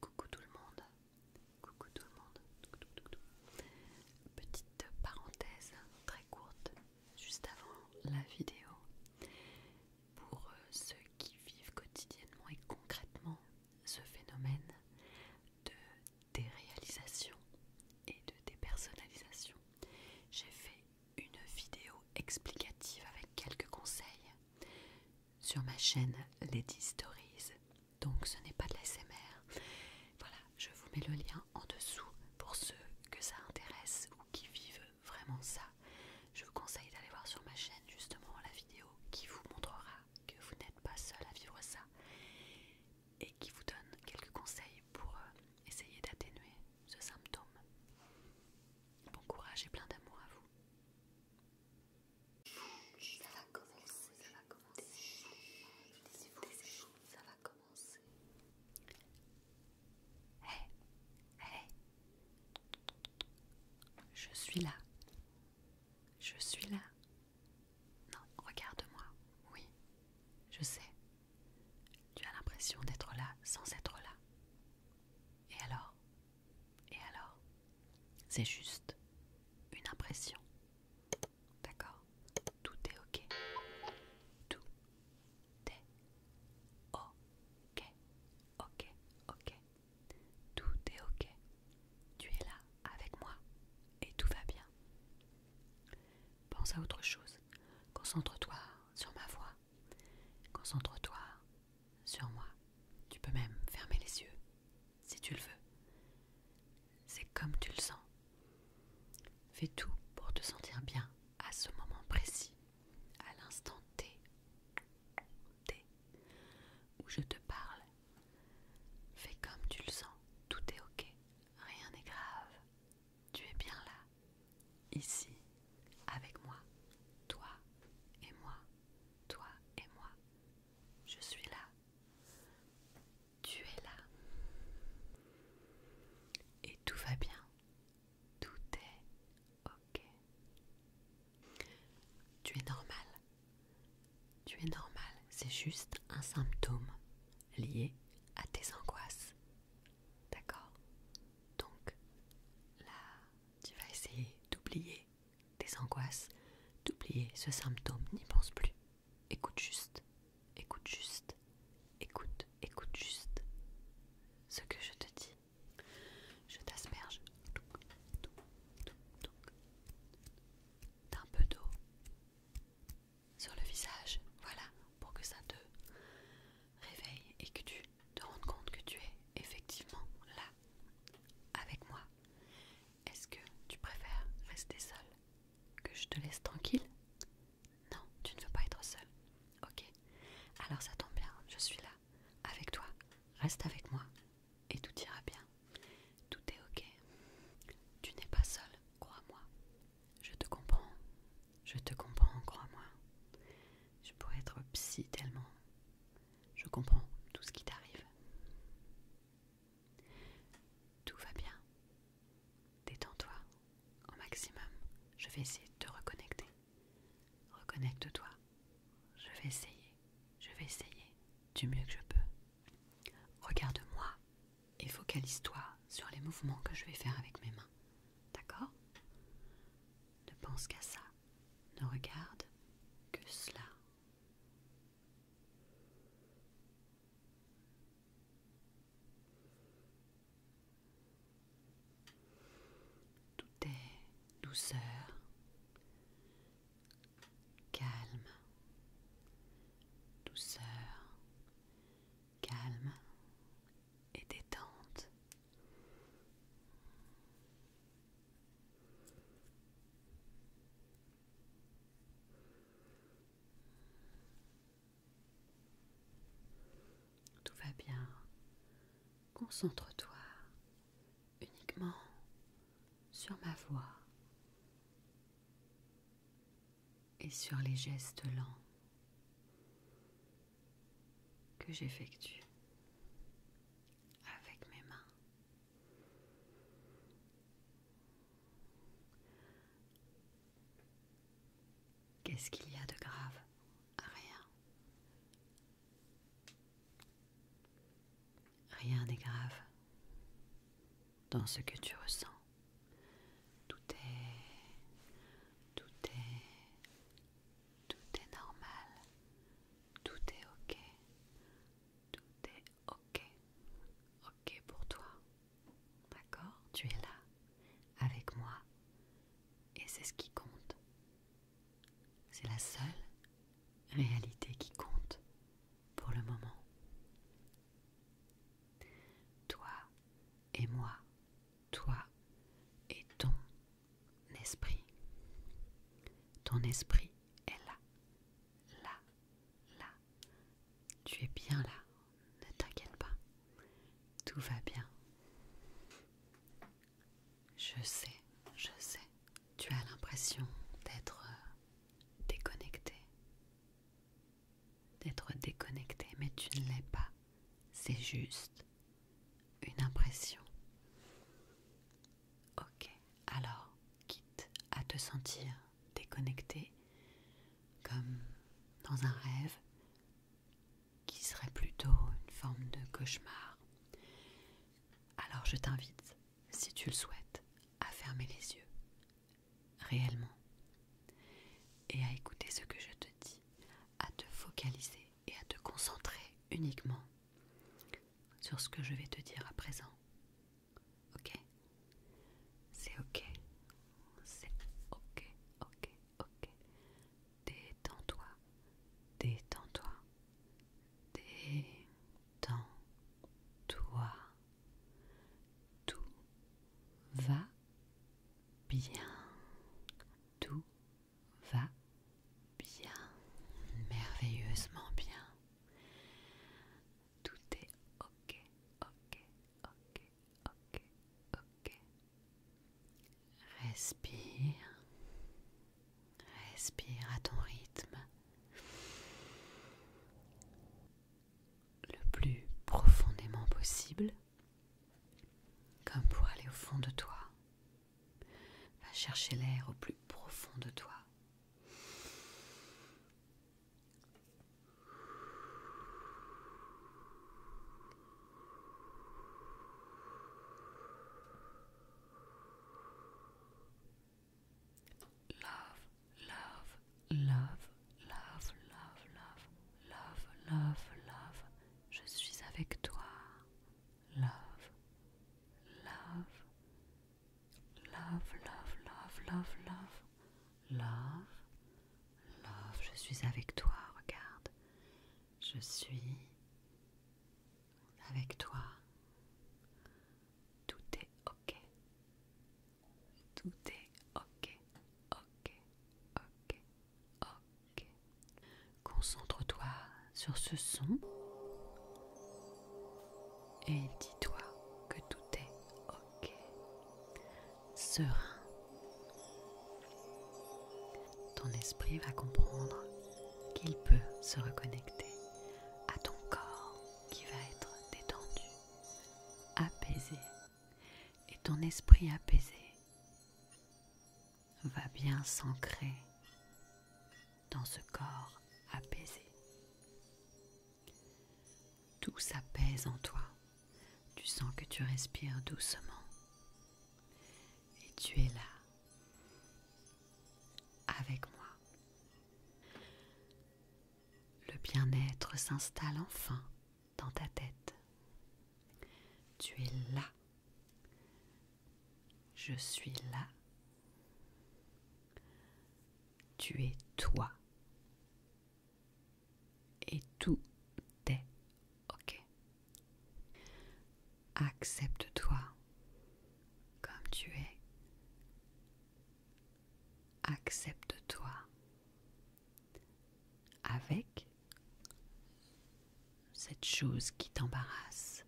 Coucou tout le monde, coucou tout le monde. Petite parenthèse très courte juste avant la vidéo pour euh, ceux qui vivent quotidiennement et concrètement ce phénomène de déréalisation et de dépersonnalisation. J'ai fait une vidéo explicative avec quelques conseils sur ma chaîne Lady Stories. Donc ce n'est pas de l'SMR Voilà, je vous mets le lien en dessous pour ceux que ça intéresse ou qui vivent vraiment ça. Je vous conseille d'aller voir sur ma chaîne justement la vidéo qui vous montrera que vous n'êtes pas seul à vivre ça et qui vous donne quelques conseils pour euh, essayer d'atténuer ce symptôme. Bon courage et plein d'amour à vous. Ça va commencer, ça va commencer. ça va commencer. hey, hey. je suis là. Je suis là. Non, regarde-moi. Oui, je sais. Tu as l'impression d'être là sans être là. Et alors et alors C'est juste une impression. D'accord Tout est ok. Tout est ok. Ok, ok. Tout est ok. Tu es là avec moi et tout va bien. Pense à autre chose. Concentre-toi sur ma voix. Concentre-toi sur moi. Tu peux même fermer les yeux, si tu le veux. C'est comme tu le sens. Fais tout pour te sentir bien à ce moment précis, à l'instant T, T, où je te parle. Fais comme tu le sens, tout est ok, rien n'est grave. Tu es bien là, ici, avec moi, toi et moi toi et moi. Je suis là. Tu es là. Et tout va bien. Tout est ok. Tu es normal. Tu es normal. C'est juste un symptôme lié à tes angoisses. D'accord Donc là, tu vas essayer d'oublier des angoisses, d'oublier ce symptôme, n'y pense plus. Écoute juste, écoute juste, écoute, écoute juste ce que je te dis. Je t'asperge d'un peu d'eau sur le visage, voilà, pour que ça te réveille et que tu te rendes compte que tu es effectivement là avec moi est-ce que tu préfères rester seule Que je te laisse tranquille Non, tu ne veux pas être seul. Ok. Alors ça tombe bien, je suis là, avec toi. Reste avec moi et tout ira bien. Tout est ok. Tu n'es pas seule, crois-moi. Je te comprends. Je te comprends, crois-moi. Je pourrais être psy tellement. Je comprends tout ce qui t'arrive. Tout va bien. Détends-toi au maximum. Je vais essayer de te reconnecter. Reconnecte-toi. Je vais essayer. Je vais essayer du mieux que je peux. Regarde-moi et focalise-toi sur les mouvements que je vais faire avec mes mains. D'accord Ne pense qu'à ça. Ne regarde que cela. Tout est douceur, calme, douceur, calme et détente. Tout va bien. Concentre-toi uniquement sur ma voix et sur les gestes lents que j'effectue avec mes mains. Qu'est-ce qu'il y a de grave Rien. Rien n'est grave dans ce que tu ressens. Tout est... Tout est... Tout est normal. Tout est ok. Tout est ok. Ok pour toi. D'accord Tu es là, avec moi. Et c'est ce qui compte. C'est la seule réalité qui compte pour le moment. Toi et moi, toi et ton esprit. Ton esprit est là, là, là. Tu es bien là, ne t'inquiète pas. Tout va bien. Je sais, je sais. Tu as l'impression d'être euh, déconnecté. D'être déconnecté, mais tu ne l'es pas. C'est juste une impression. Ok, alors, quitte à te sentir déconnecté, comme dans un rêve, qui serait plutôt une forme de cauchemar, alors je t'invite, si tu le souhaites, à fermer les yeux, réellement, et à écouter ce que je te dis, à te focaliser et à te concentrer uniquement sur ce que je vais te dire à présent. Ok C'est ok. C'est ok, ok, ok. Détends-toi. Détends-toi. Détends-toi. Tout va bien. Tout va bien. Merveilleusement bien. Tout est ok, ok, ok, ok, ok. Respire. Respire à ton rythme. Le plus profondément possible. Comme pour aller au fond de toi. Va chercher l'air au plus profond de toi. Love, love, love, love, love, love, love, love, love. Je suis avec toi. Love, love, Love, love, love, love, love. Love, love, je suis avec toi, regarde. Je suis avec toi. Tout est ok. Tout est ok, ok, ok, ok. Concentre-toi sur ce son et dis-toi que tout est ok, serein. Ton esprit va comprendre qu'il peut se reconnecter à ton corps qui va être détendu, apaisé. Et ton esprit apaisé va bien s'ancrer dans ce corps apaisé. Tout s'apaise en toi. Tu sens que tu respires doucement. Et tu es là, avec moi. Le bien-être s'installe enfin dans ta tête. Tu es là. Je suis là tu es toi. Et tout est OK. Accepte-toi comme tu es. Accepte-toi avec cette chose qui t'embarrasse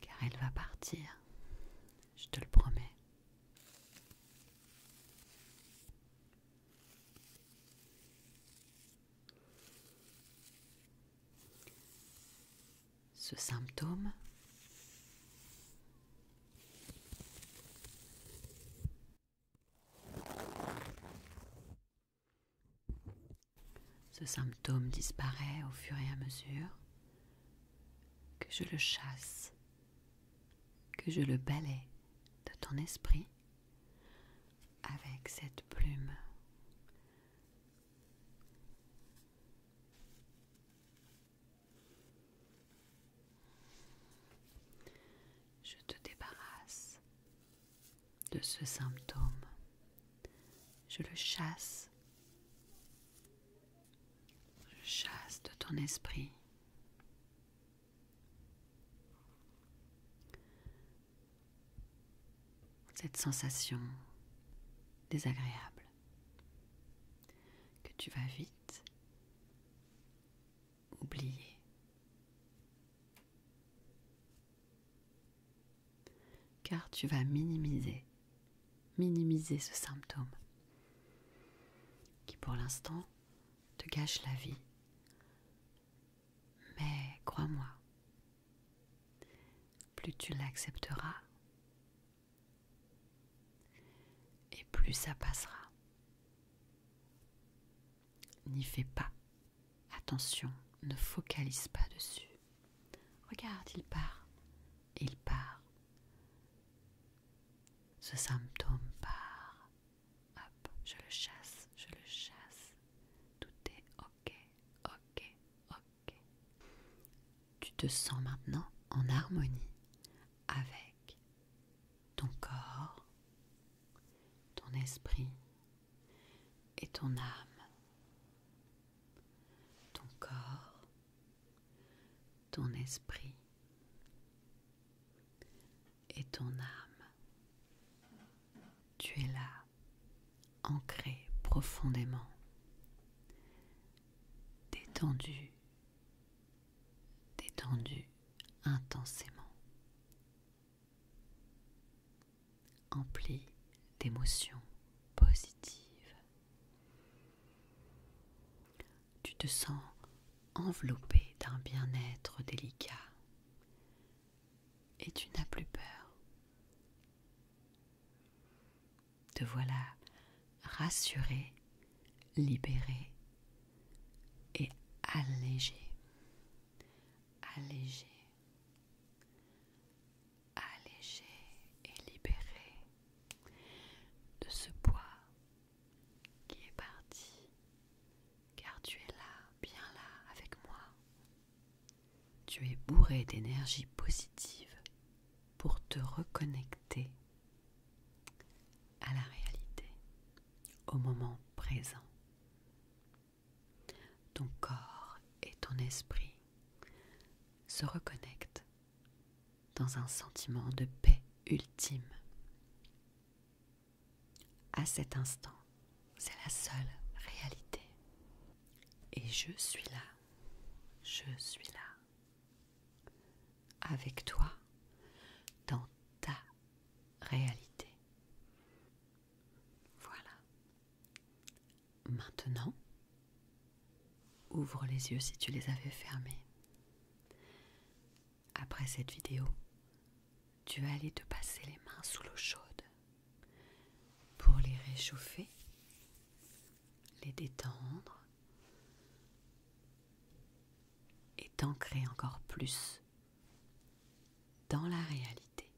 car elle va partir, je te le promets. Ce symptôme ce symptôme disparaît au fur et à mesure que je le chasse, que je le balaie de ton esprit avec cette plume. Je te débarrasse de ce symptôme je le chasse. Je chasse de ton esprit. Cette sensation désagréable. Que tu vas vite oublier car tu vas minimiser, minimiser ce symptôme qui pour l'instant te gâche la vie. Mais crois-moi, plus tu l'accepteras, et plus ça passera. N'y fais pas. Attention, ne focalise pas dessus. Regarde, il part, il part. Ce symptôme part. Hop, je le chasse, je le chasse. Tout est ok, ok, ok. Tu te sens maintenant en harmonie avec ton corps, ton esprit et ton âme ton corps, ton esprit et ton âme. Tu es là, ancré profondément, détendu, détendu intensément, empli d'émotions positives tu te sens enveloppé d'un bien-être délicat et tu n'as plus peur. Te voilà rassuré, libéré et allégé. Allégé alléger et libéré de ce poids qui est parti, car tu es là, bien là, avec moi. Tu es bourré d'énergie positive pour te reconnecter à la réalité, au moment présent. Ton corps et ton esprit se reconnectent dans un sentiment de paix ultime. À cet instant, c'est la seule réalité. Et je suis là, je suis là, avec toi, dans ta réalité. Voilà. Maintenant, ouvre les yeux si tu les avais fermés. Après cette vidéo, tu vas aller te passer les mains sous l'eau chaude pour les réchauffer, les détendre et t'ancrer encore plus dans la réalité.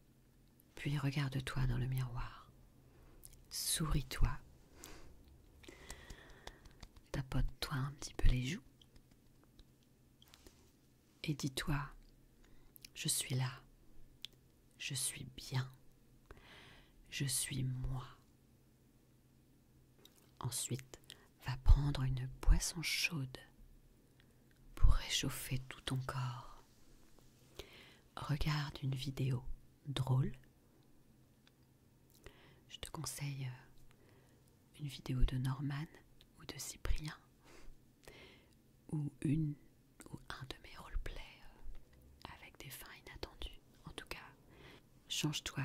Puis regarde-toi dans le miroir. Souris-toi. Tapote-toi un petit peu les joues. Et dis-toi, je suis là. Je suis bien. Je suis moi. Ensuite, va prendre une boisson chaude pour réchauffer tout ton corps. Regarde une vidéo drôle je te conseille euh, une vidéo de Norman ou de Cyprien ou une ou un de mes roleplays euh, avec des fins inattendues. En tout cas, change-toi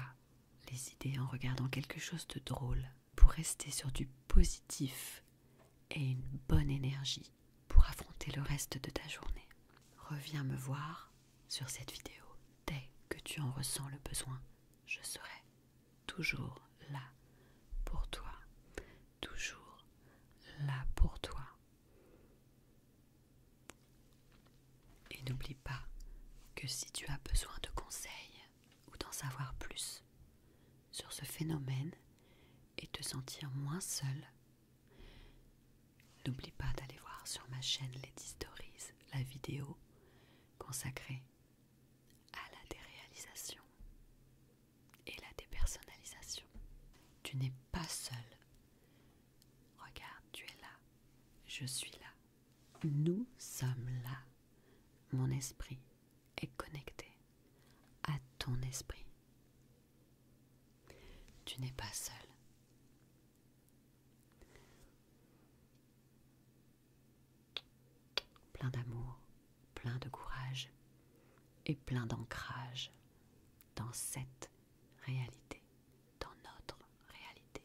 les idées en regardant quelque chose de drôle pour rester sur du positif et une bonne énergie pour affronter le reste de ta journée. Reviens me voir sur cette vidéo dès que tu en ressens le besoin. Je serai toujours là pour toi. Toujours là pour toi. Et n'oublie pas que si tu as besoin de conseils ou d'en savoir plus sur ce phénomène et te sentir moins seul, N'oublie pas d'aller voir sur ma chaîne Lady Stories la vidéo consacrée à la déréalisation et la dépersonnalisation. Tu n'es pas seul. Regarde, tu es là. Je suis là. Nous sommes là. Mon esprit est connecté à ton esprit. Tu n'es pas seul. Plein d'amour, plein de courage et plein d'ancrage dans cette réalité, dans notre réalité.